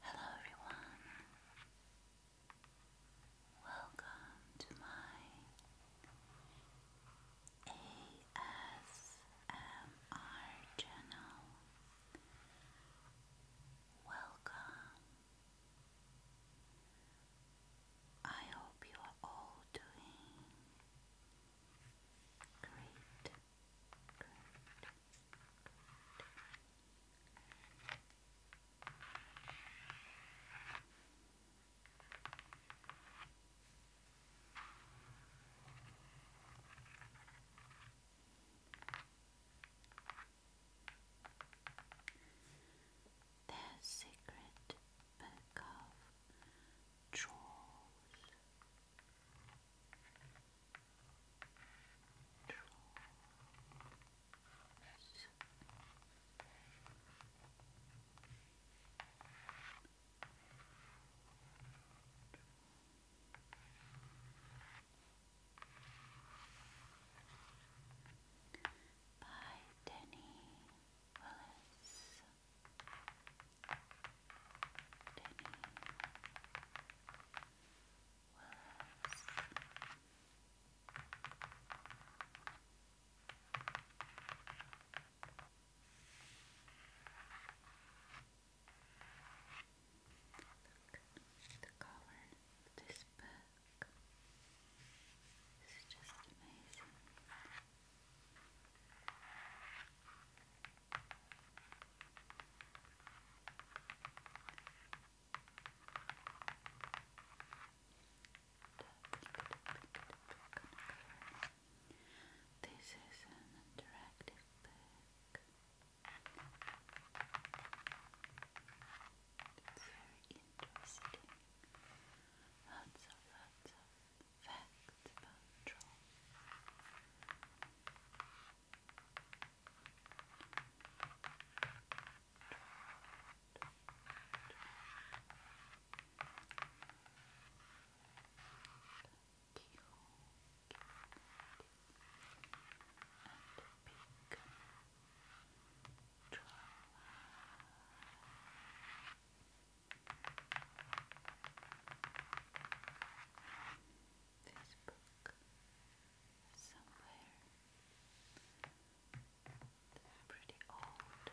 Hello, everyone. Welcome to my ASMR channel. Welcome. I hope you are all doing great. Great. great. Their secret book of trolls. trolls by Denny Willis. Denny Willis. Look at the cover of this book. This is just amazing. This is an interactive book. It's very interesting. Lots of lots of facts about trolls. Thank you. Thank you pink Draw. This book somewhere. They're pretty old.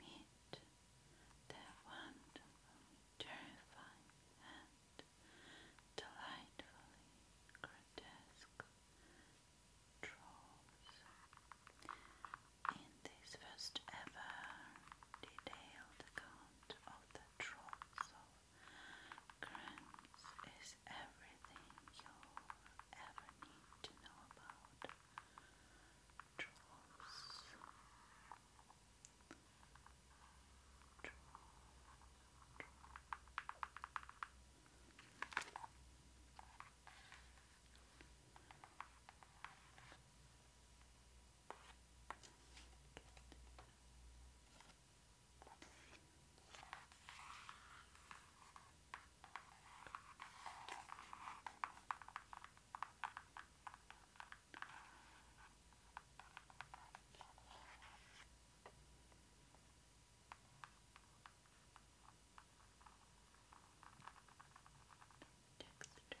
meet their wonderful, terrifying, and delightfully grotesque trolls. In this first ever detailed account of the trolls of Grimm's is everything you ever need to know about trolls. Texture, yeah. Texture. Texture.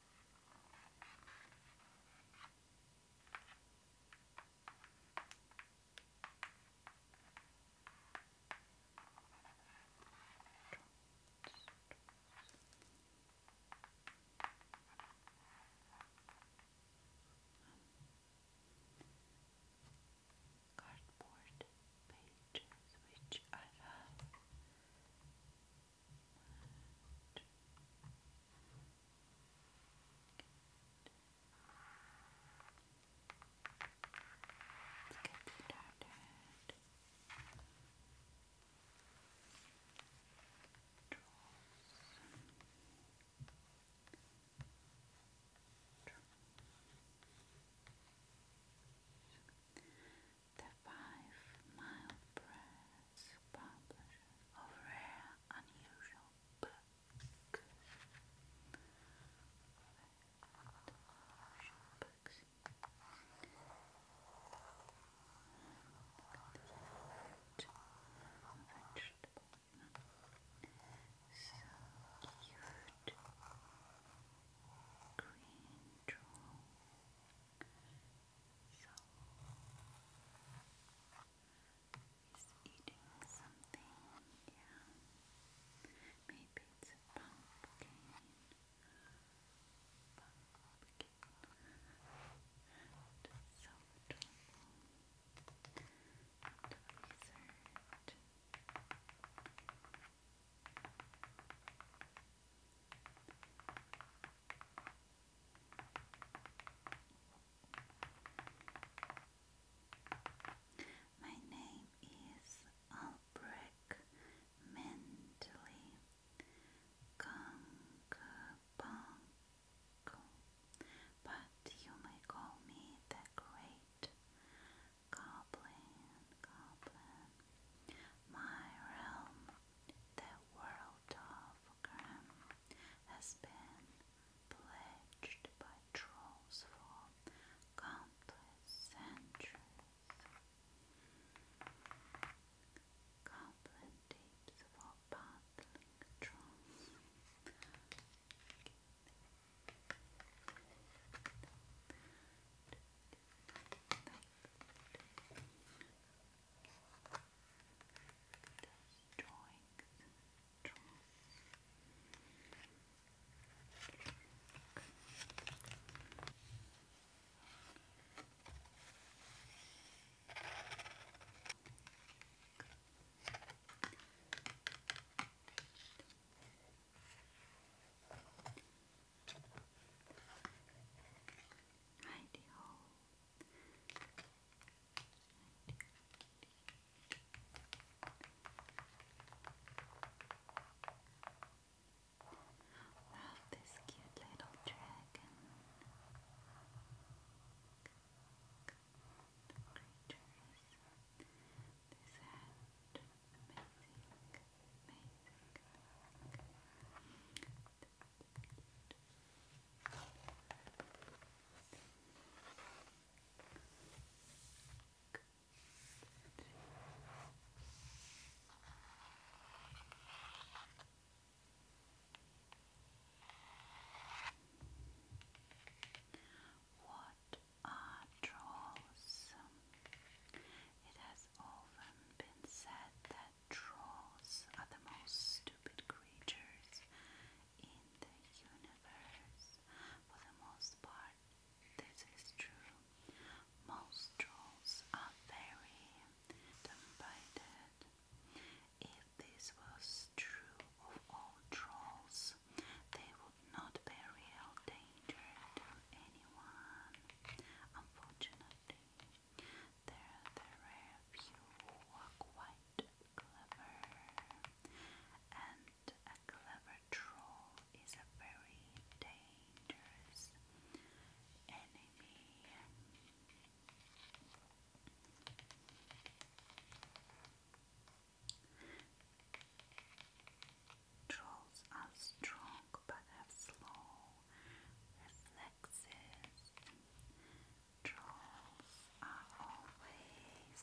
Cardboard pages, which I love. Good. Let's get started. Draws. Draws. The Five Mile Press publisher of rare, unusual books. vegetable. So cute. Green he's eating something, yeah. Maybe it's pumpkin. Pumpkin. so adorable. And a my name is Albrecht Mentally Gunkabanko, but you may call me the Great Goblin Goblin. My realm the world of Grimm has been pledged by trolls for countless centuries. Goblin for battling trolls. Like those drawings. Good. Righty ho. this cute little dragon. creatures. This hand. Amazing. amazing. What are trolls? It has often been said that trolls are the most stupid creatures in the universe. For the most part, this is true. Most trolls are very dumb If this was true of all trolls, they would not be real danger to anyone, unfortunately. There, there were a few who were quite clever, and a clever troll is a very dangerous enemy. Trolls are strong but have slow sexes. Trolls are always hungry.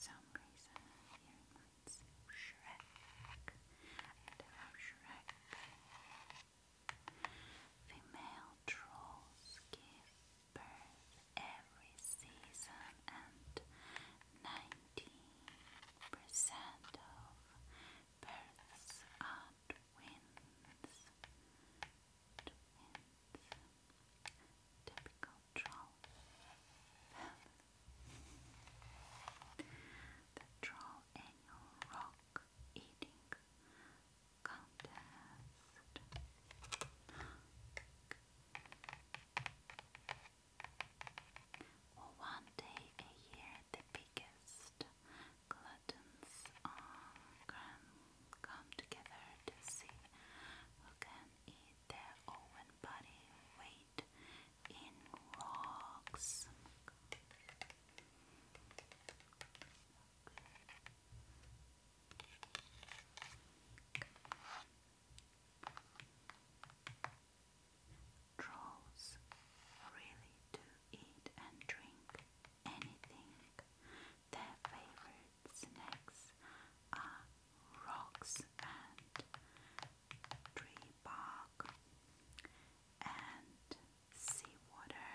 some reason, he reminds Shrek. And about Shrek, female trolls give every season and 90% of births are Twins. Typical troll. the troll annual rock eating contest. Well, one day a the biggest gluttons come together to see who can eat their own body weight in rocks. Trolls really do eat and drink anything. Their favorite snacks are rocks and tree bark and seawater.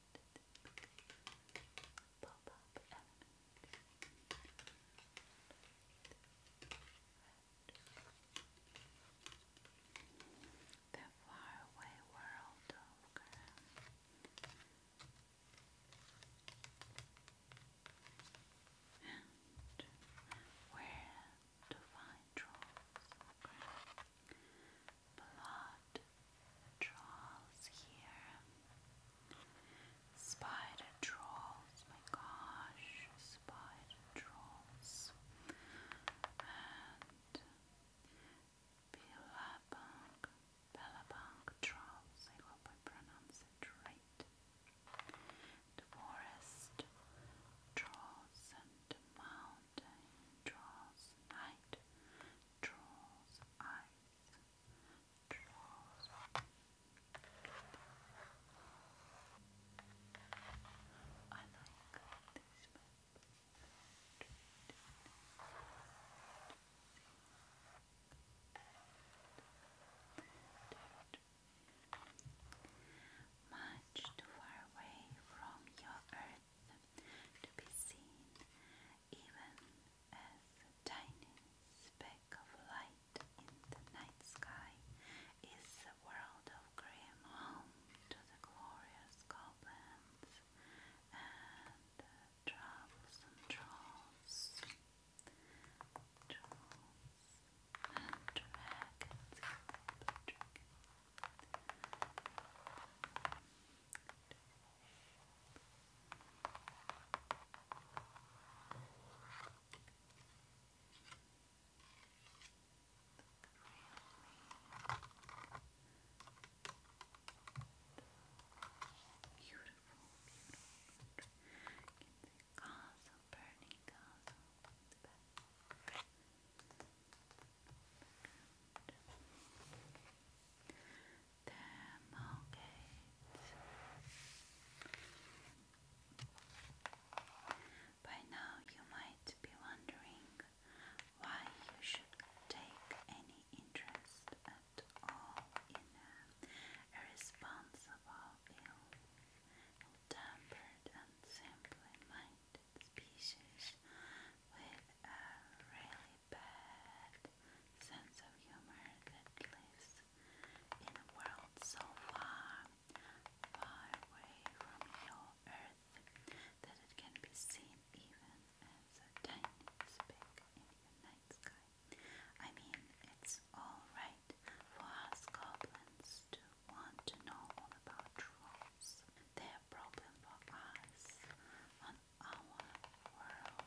pop up The faraway world of Graham. And where to find trolls? Blood Trolls here. Spider trolls, my gosh, spider trolls. And Billabong, Billabong trolls, I hope I pronounce it right. The forest trolls and mountain trolls, night trolls, ice I like Much too far away from your earth to be seen even as tiny speck of light in the night sky is the world of Grimm, home to the glorious goblins and uh, troublesome trolls, trolls and dragons. Dragon. Beautiful, beautiful. The castle, burning castle. The Thermalgate. By now you might be wondering why you should take any interest at all in a irresponsible, ill-tempered and simply minded species with a really bad sense of humor that lives in a world so far, far away from your Earth that it can be seen even as a tiny speck in the night sky. I mean, it's alright for us goblins to want to know all about trolls. They're a for us our world.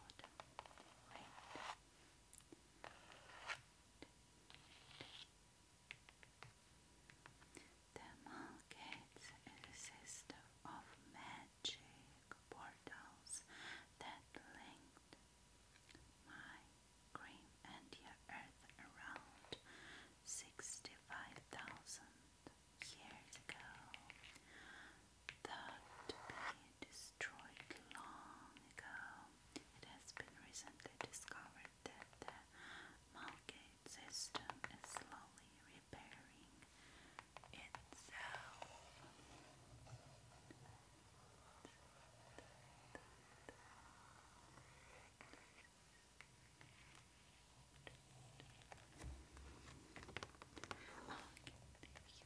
The markets is of magic portals that linked my cream and your earth around 65,000 years ago thought to destroyed long ago. It has been recently discovered that the Malgate system is slowly repairing itself.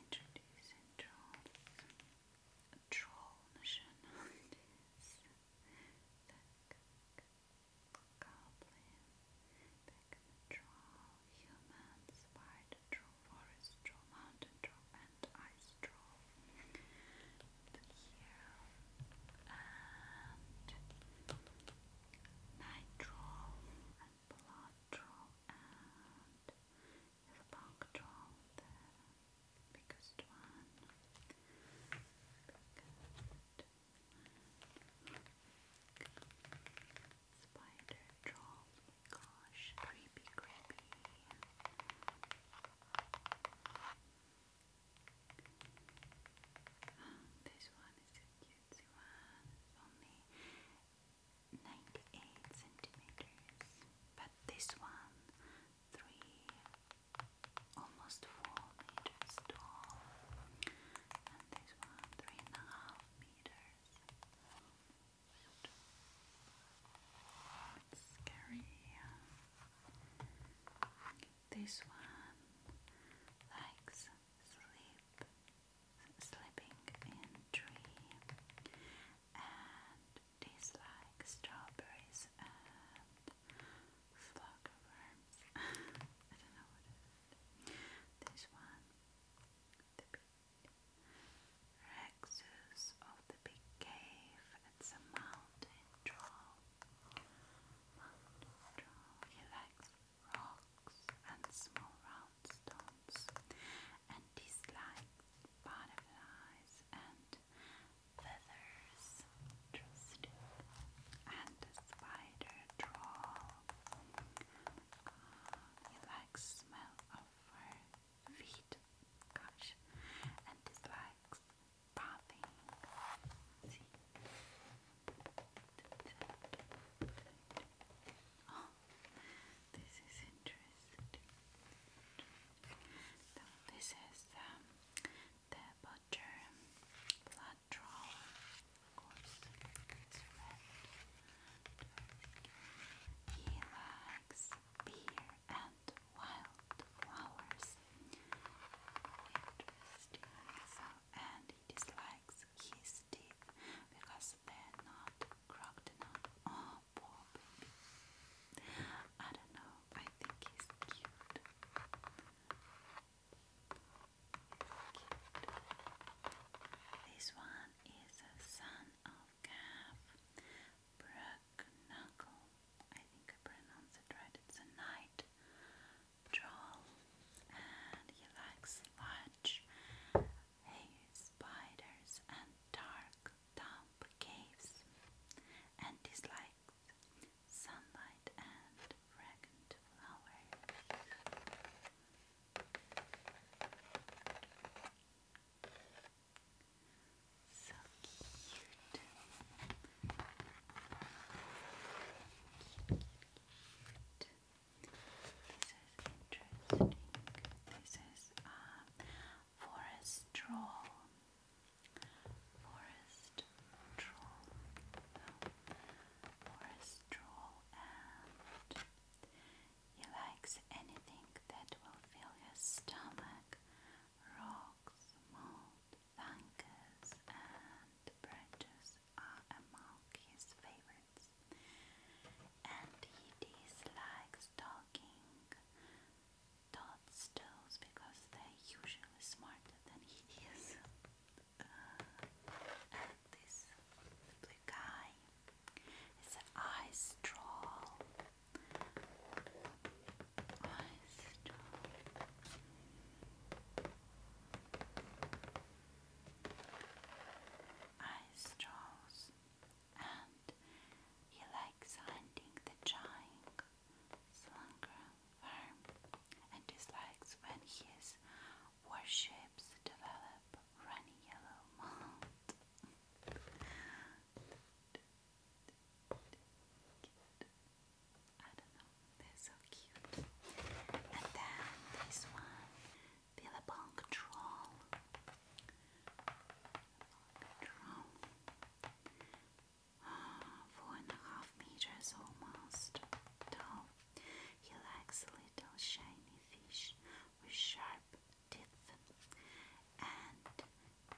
Introducing trolls. Troll nationalities. The goblin. The troll. Human. Spider troll. Forest troll. Mountain troll. And ice troll. And here. And nitro and blood draw and the draw the biggest one. Biggest one. Spider draw. gosh, creepy, creepy. this one is so cute. Tetsuwa uh, is only 98 centimeters, but this one, three, almost four meters tall, and this one, three and a half meters. It's scary. This one likes sleep, sleeping in dream, and tastes like strawberries and flock worms. I don't know what This one, the big Rexus of the big cave. It's a mountain troll. Mountain troll. He rocks and small round stones, and dislikes butterflies and feathers, interesting, and a spider troll. likes smell of fur feet, gosh, and dislikes bathing. Oh, this is interesting. this is um, the butcher blood Of course, it's red. He likes beer and wild Interesting. So, and dislikes his teeth because they're not crooked enough. Oh, poor baby. I don't know. I think he's cute. This one is a son of calf. Brook knuckle. I think I pronounced it right. It's a knight troll and he likes large hay spiders and dark damp caves and dislikes sunlight and fragrant flowers. So cute. Right. This is interesting. This is a um, forest troll. Forest troll. Forest troll and he likes anything that will fill his stomach. Rocks, mold, Fungus and branches are among his favorites, and he dislikes talking toadstools because they're usually smarter than he is. Uh, and this blue guy is an ice troll. Ice troll ice trolls, and he likes hunting the giant slunker worm, and dislikes when his warships develop runny yellow mold. I don't know, they're so cute. And then this one, Billabong Troll. Billabong Troll. Oh, four and a half meters almost tall. He likes little shiny fish with sharp teeth and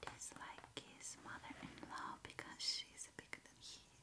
he's like his mother-in-law because she's bigger than he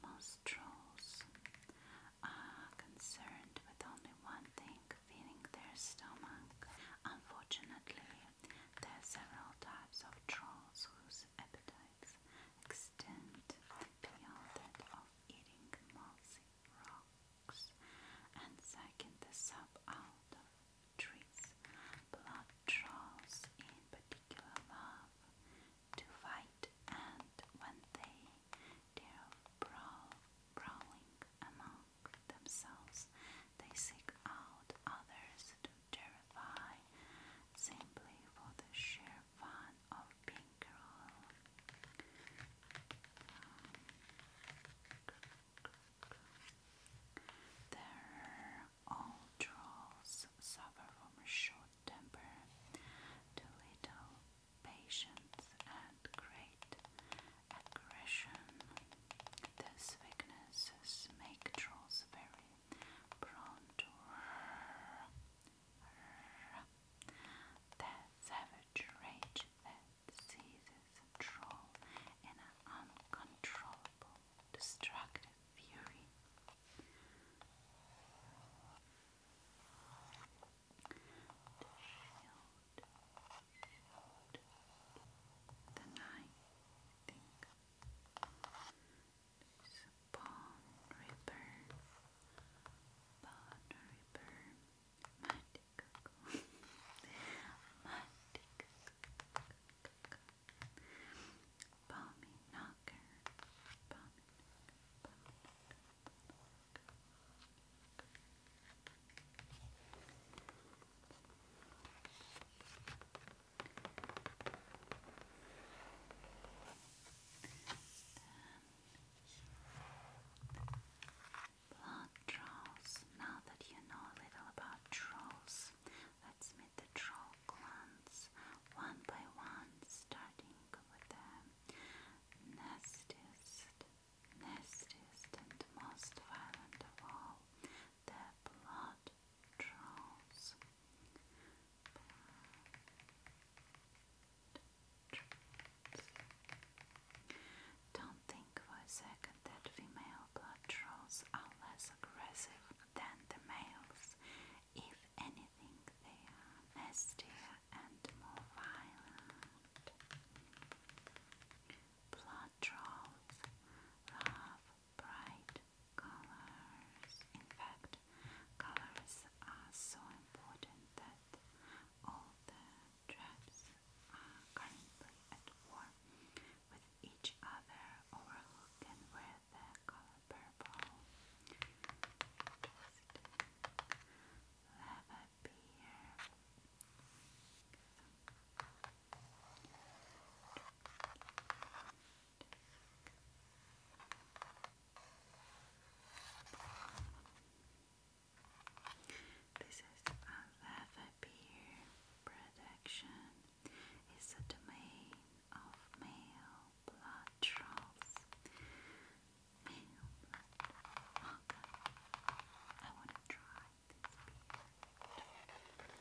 Most trolls are concerned with only one thing feeding their stomach. Unfortunately, there are several types of trolls whose appetites extend beyond that of eating mossy rocks and sucking the sap out of trees. Blood trolls, in particular, love to fight, and when they dare brawl, brawling among themselves, they seek out others to terrify simply for the sheer fun of being cruel. their all trolls suffer from short temper, little patience, and great aggression. These weaknesses make trolls very prone to that savage rage that seizes a troll in uncontrollable, destructive fury to shield, shield the night, I think. There's a Pawn Ripper, Pawn Ripper, Mighty Cuckoo, Mighty Cuckoo balmy knocker, balmy knocker, balmy knocker, knocker, Blood trolls. Now that you know a little about trolls, let's meet the troll clans one by one, starting with the nastiest, nastiest, and most violent of all the blood draws. Don't think for a second that female blood draws are less aggressive than the males. If any think they are nastier and more violent. Blood trolls love bright colors. In fact, colors are so important that all the tribes are currently at war with each other over who wear with the color purple. Just lab This is a lava beer production. It's a domain of male blood trolls. Male I want to try this beard.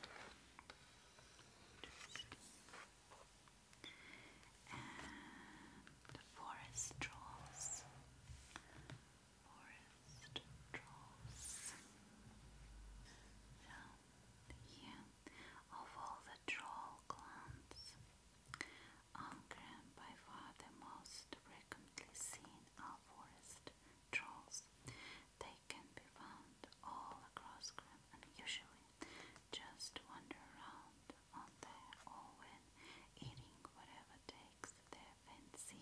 And forest trolls. Forest trolls. So, yeah, of all the troll clans, Algrim, by far the most frequently seen are forest trolls. They can be found all across Grim and usually just wander around on their own, eating whatever takes their fancy.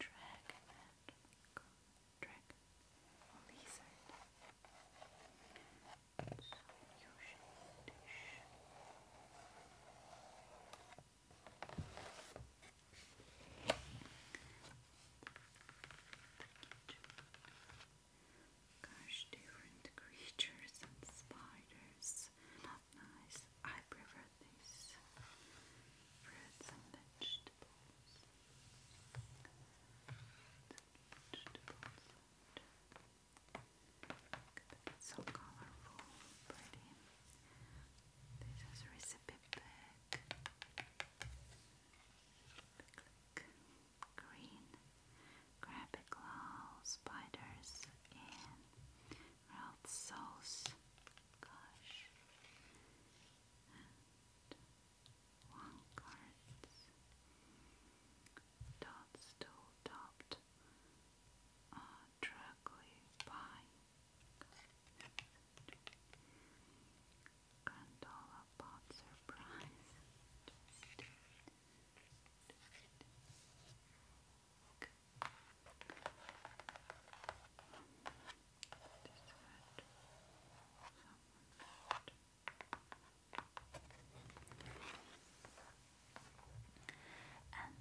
dragoman, dragon, or lizard. you different creatures and spiders not nice. I prefer these fruits and vegetables. Vegetables. It's so colorful, pretty. This is a recipe Click. Green. Crab claw, spiders, and grilled sauce, Gosh. And one cards. Dots to topped by Grandola Pot Surprise. And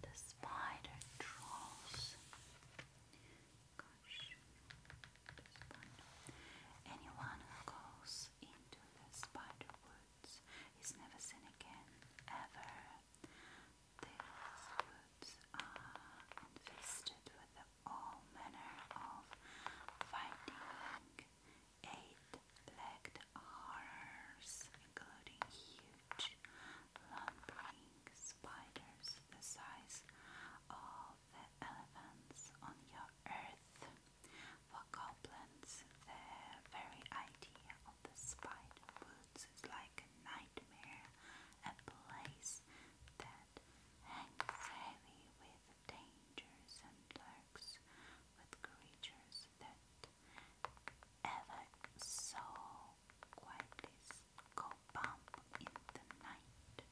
the spider draws. Gosh, Anyone who goes into the spider woods is never seen again, ever. These woods are infested with all manner of fighting eight-legged horrors, including huge lumbering spiders the size of the elephants on your earth. For goblins, the very idea of the spider woods is like a nightmare, a place that hangs heavy with dangers and lurks with creatures that ever so quietly go bump in the night.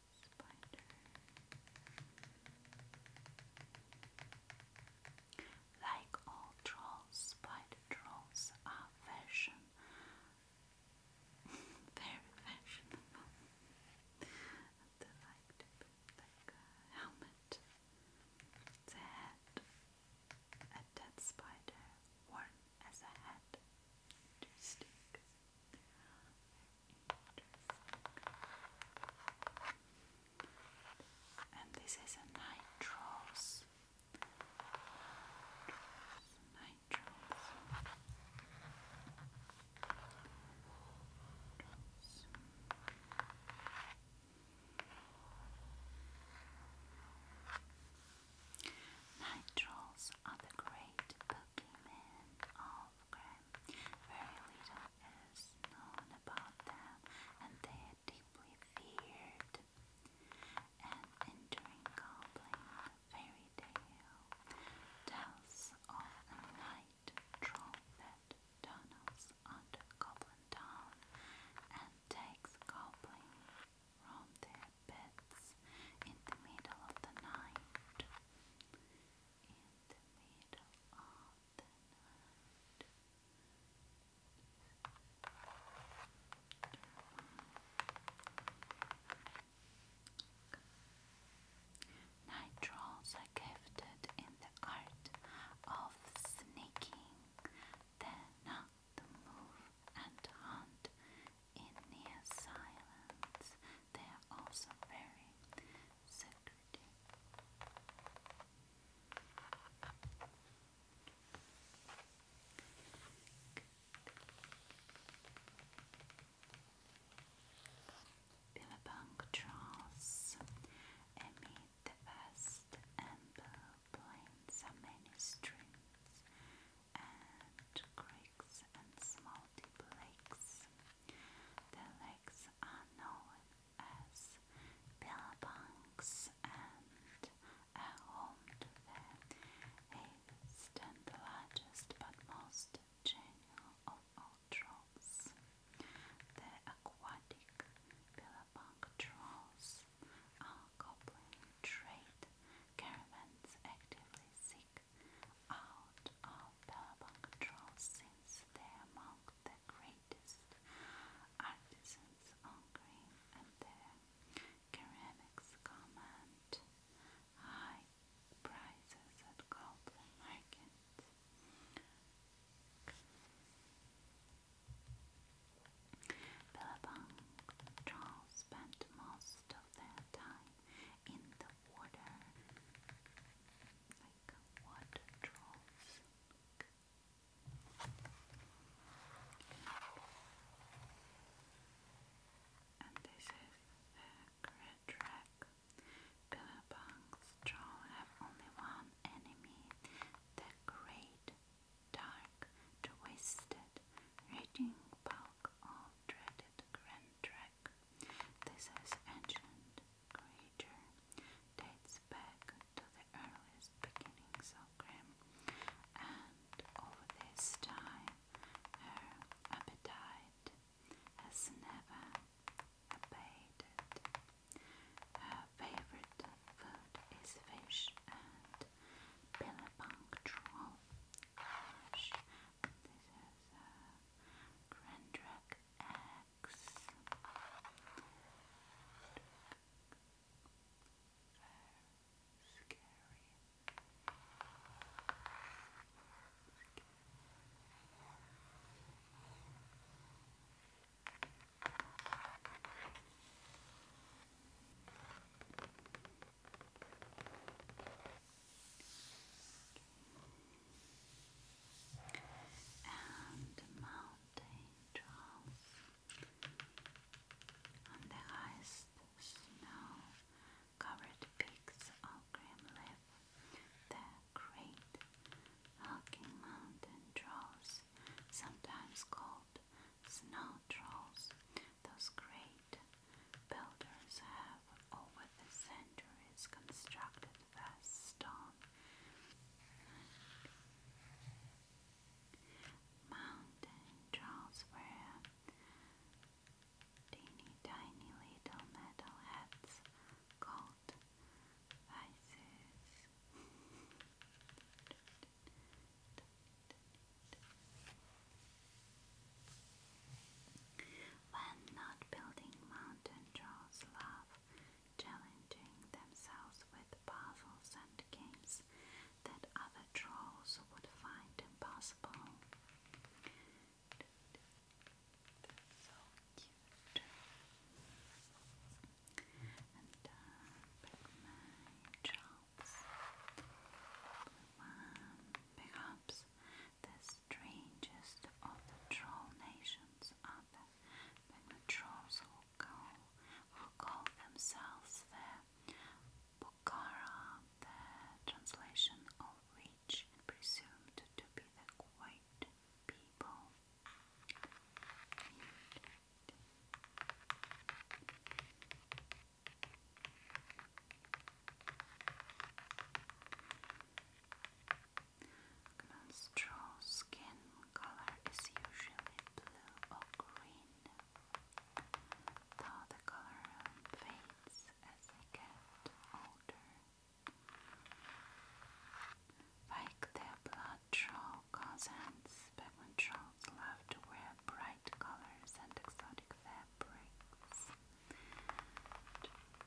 Spider. Like all trolls, spider trolls are fashion. Very fashionable. they like to put like helmet. The head. A dead spider worn as a head. Interesting. And this is a nitrose. Nitrose. are the great boogeymen of Grand very little is known about them, and they deeply feared. And entering goblin fairy tale tells of a night troll that tunnels under Goblin Town and takes goblins from their beds in the middle of the night the middle are gifted in the art of sneaking. They know to move and hunt in near silence. They are also very draws amid the vast ample plains are many streams and creeks and small deep lakes. The lakes are known as billabongs and are home to the eighth and largest but most general of all trolls. The aquatic billabong trolls are coupling trade caravans actively seeking out of Bourbon control since they're among the greatest artisans on green and their ceramics command high prices at golden markets. Billabong spent most of their time in the water, like what trolls And this is the great track. Billabong's trolls have only one enemy, the great dark twisted raging bulk of dreaded grand track. This is ancient creature dates back to the earliest beginnings of Grimm, and over this time her appetite has never abated. Her favorite food is fish and billabong troll. this is a grand X. Very scary. Scary and mountain trails on the highest snow-covered peaks of Grimliff, the great hulking mountain trolls, sometimes called snow trolls, those great builders have over the centuries constructed vest on. Mountain trolls wear teeny tiny little metal hats called vices. When not building mountain trolls love challenging themselves with puzzles and games that other trolls would find impossible. so cute. And uh, perhaps the strangest of the troll nations are the, trolls who call, themselves the Bukhara, the translation of which presumed to be the "quiet people. Menstrual skin color is usually blue or green, though the color fades as they get older. Like their blood troll cousins, pigment trolls love to wear bright colors and exotic fabrics.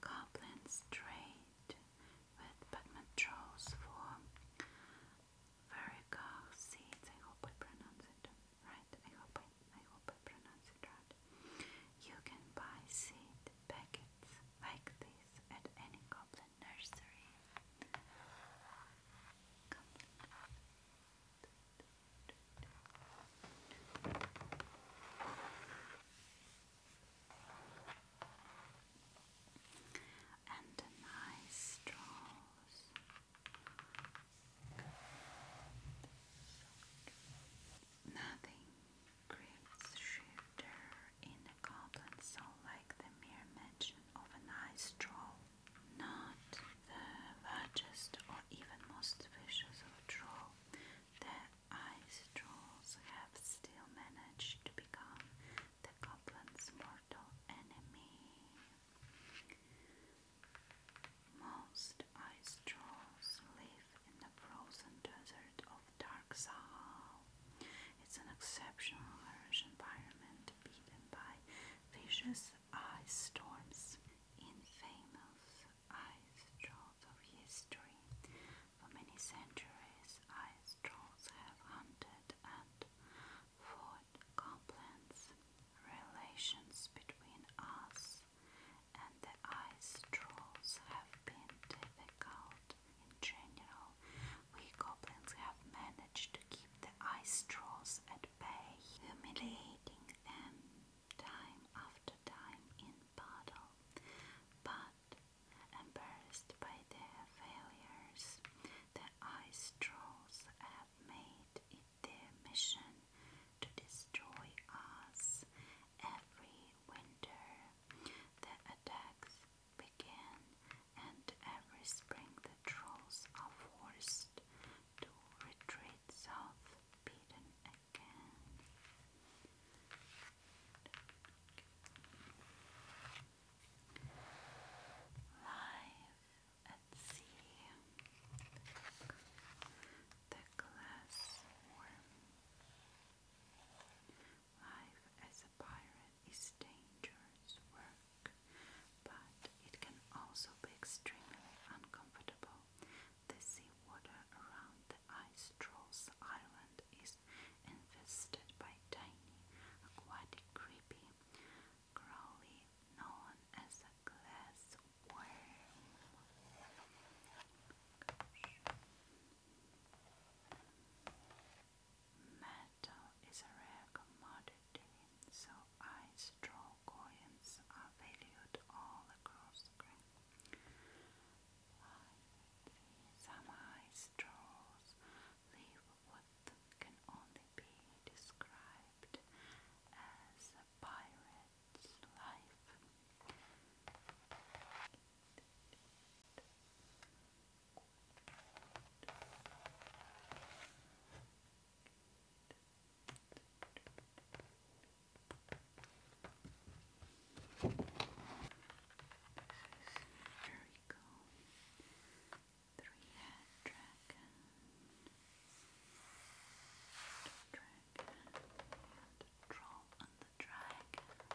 Goblins trade with Batman for Varigar seeds. I hope I pronounce it right. I hope I, I hope I pronounce it right. You can buy seed packets like this at any goblin nursery and a nice straws. Nothing creates shifter in a goblin soul like the mere mention of a nice troll. Not the largest or even most vicious of troll, the Ice trolls have still managed to become the Goblin's mortal enemy. Most ice trolls live in the frozen desert of Dark Sahal. It's an exceptional harsh environment beaten by vicious ice storms. In ice trolls of history. For many centuries, ice trolls have hunted and fought goblins. Relations between us and the ice trolls have been difficult in general. We goblins have managed to keep the ice trolls at bay, humiliating them time after time in battle, but embarrassed by their failures, the ice trolls have made it their mission to destroy us every winter. The attacks begin, and every spring the trolls are forced to retreat south, beaten Live at sea, the glass Life as a pirate is dangerous work, but it can also be extremely uncomfortable the seawater around the ice island is infested by tiny aquatic creepy crawly known as a glass worm. Metal is a rare commodity, so ice coins are valued all across the Some ice straws leave what can only be described as a pirate's life. There we go. Three head dragon. Dragon. And the troll and the dragon. Dragon.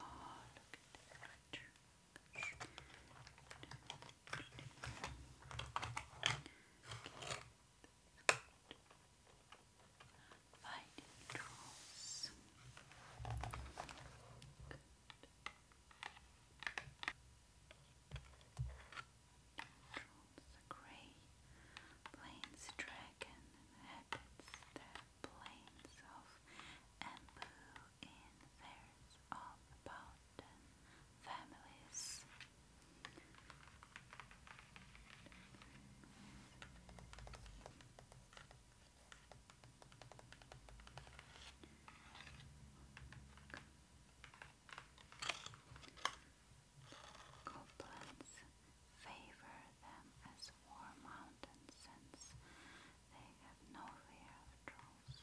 Oh, look at this Fighting trolls. Good controls the grey plains dragon inhabits the plains of Embu in fairs of families. Goblins favor them as warm mountains since they have no fear of trolls.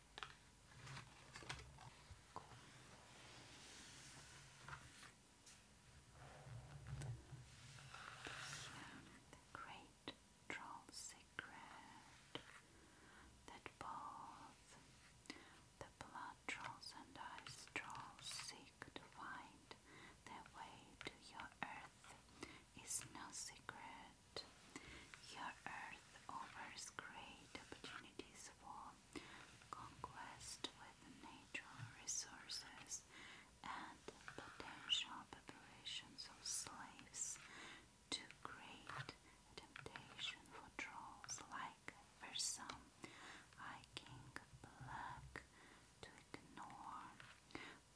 Cool. Here, great troll secret that both the blood trolls and ice trolls seek to find their way to your earth is no secret. Your earth offers great opportunities for conquest with natural resources, and potential preparations of slaves to great temptation for trolls like Versum, Hiking Black, to ignore.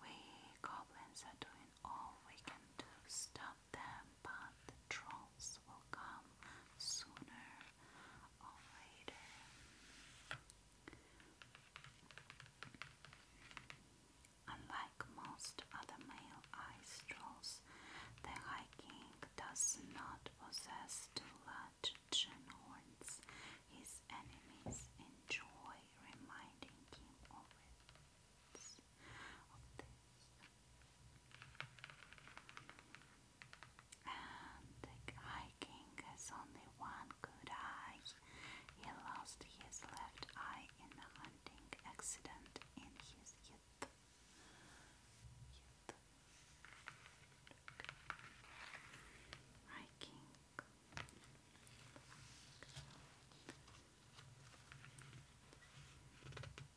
We goblins are doing all we can to stop but the trolls will come sooner or later. Unlike most other male ice trolls, the High King does not possess too large horns. His enemies enjoy reminding him of it the King has only one good eye. He lost his left eye in a hunting accident in his youth. youth.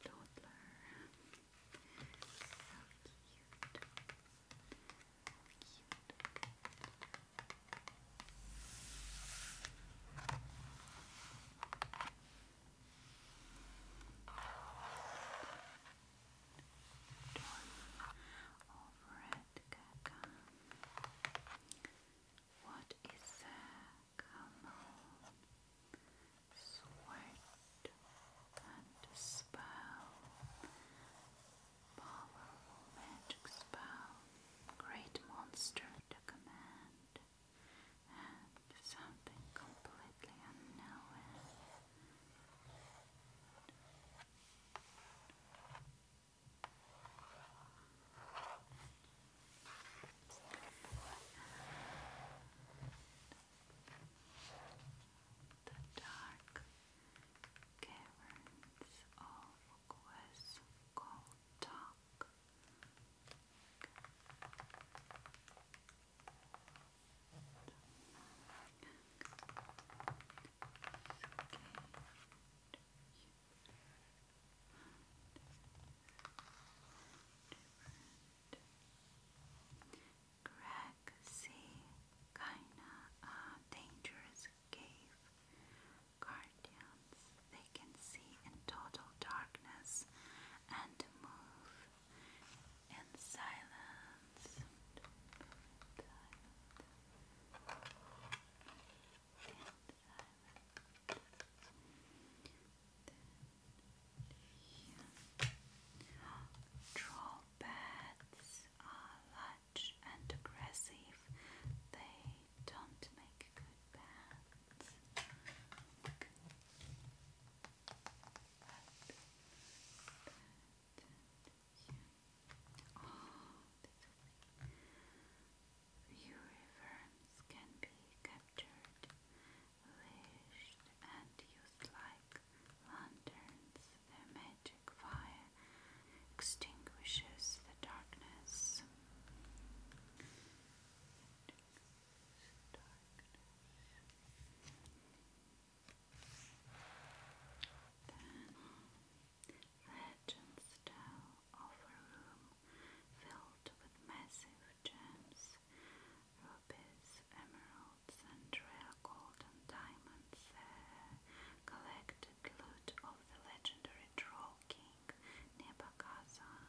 Toddler. Overhead Gaga. What is a camel? sweat and spell, powerful magic spell, great monster to command, and something completely unknown. And the dark caverns of Questcoltoc. Different Greg C. Kinda uh, dangerous cave. Guardians, they can see in total darkness and move in silence. Yeah. Troll bats are large and aggressive. They don't make good bats. But, can be captured wished and used lanterns their magic fire extinguishes the darkness. Then legends tell of a room filled with massive gems rubies, emeralds, and rare gold and diamonds uh, collected loot of the legendary troll king Nebuchadnezzar.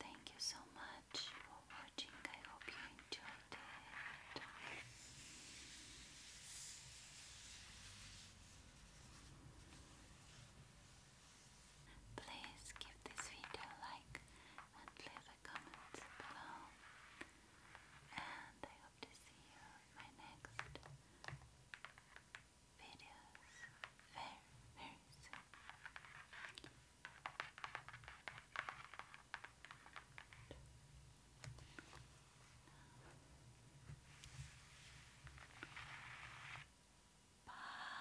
Thank you so much for watching. I hope you enjoyed it. Please give this video a like like and leave a comment below. And I hope to see you in my next videos very, very soon. Bye.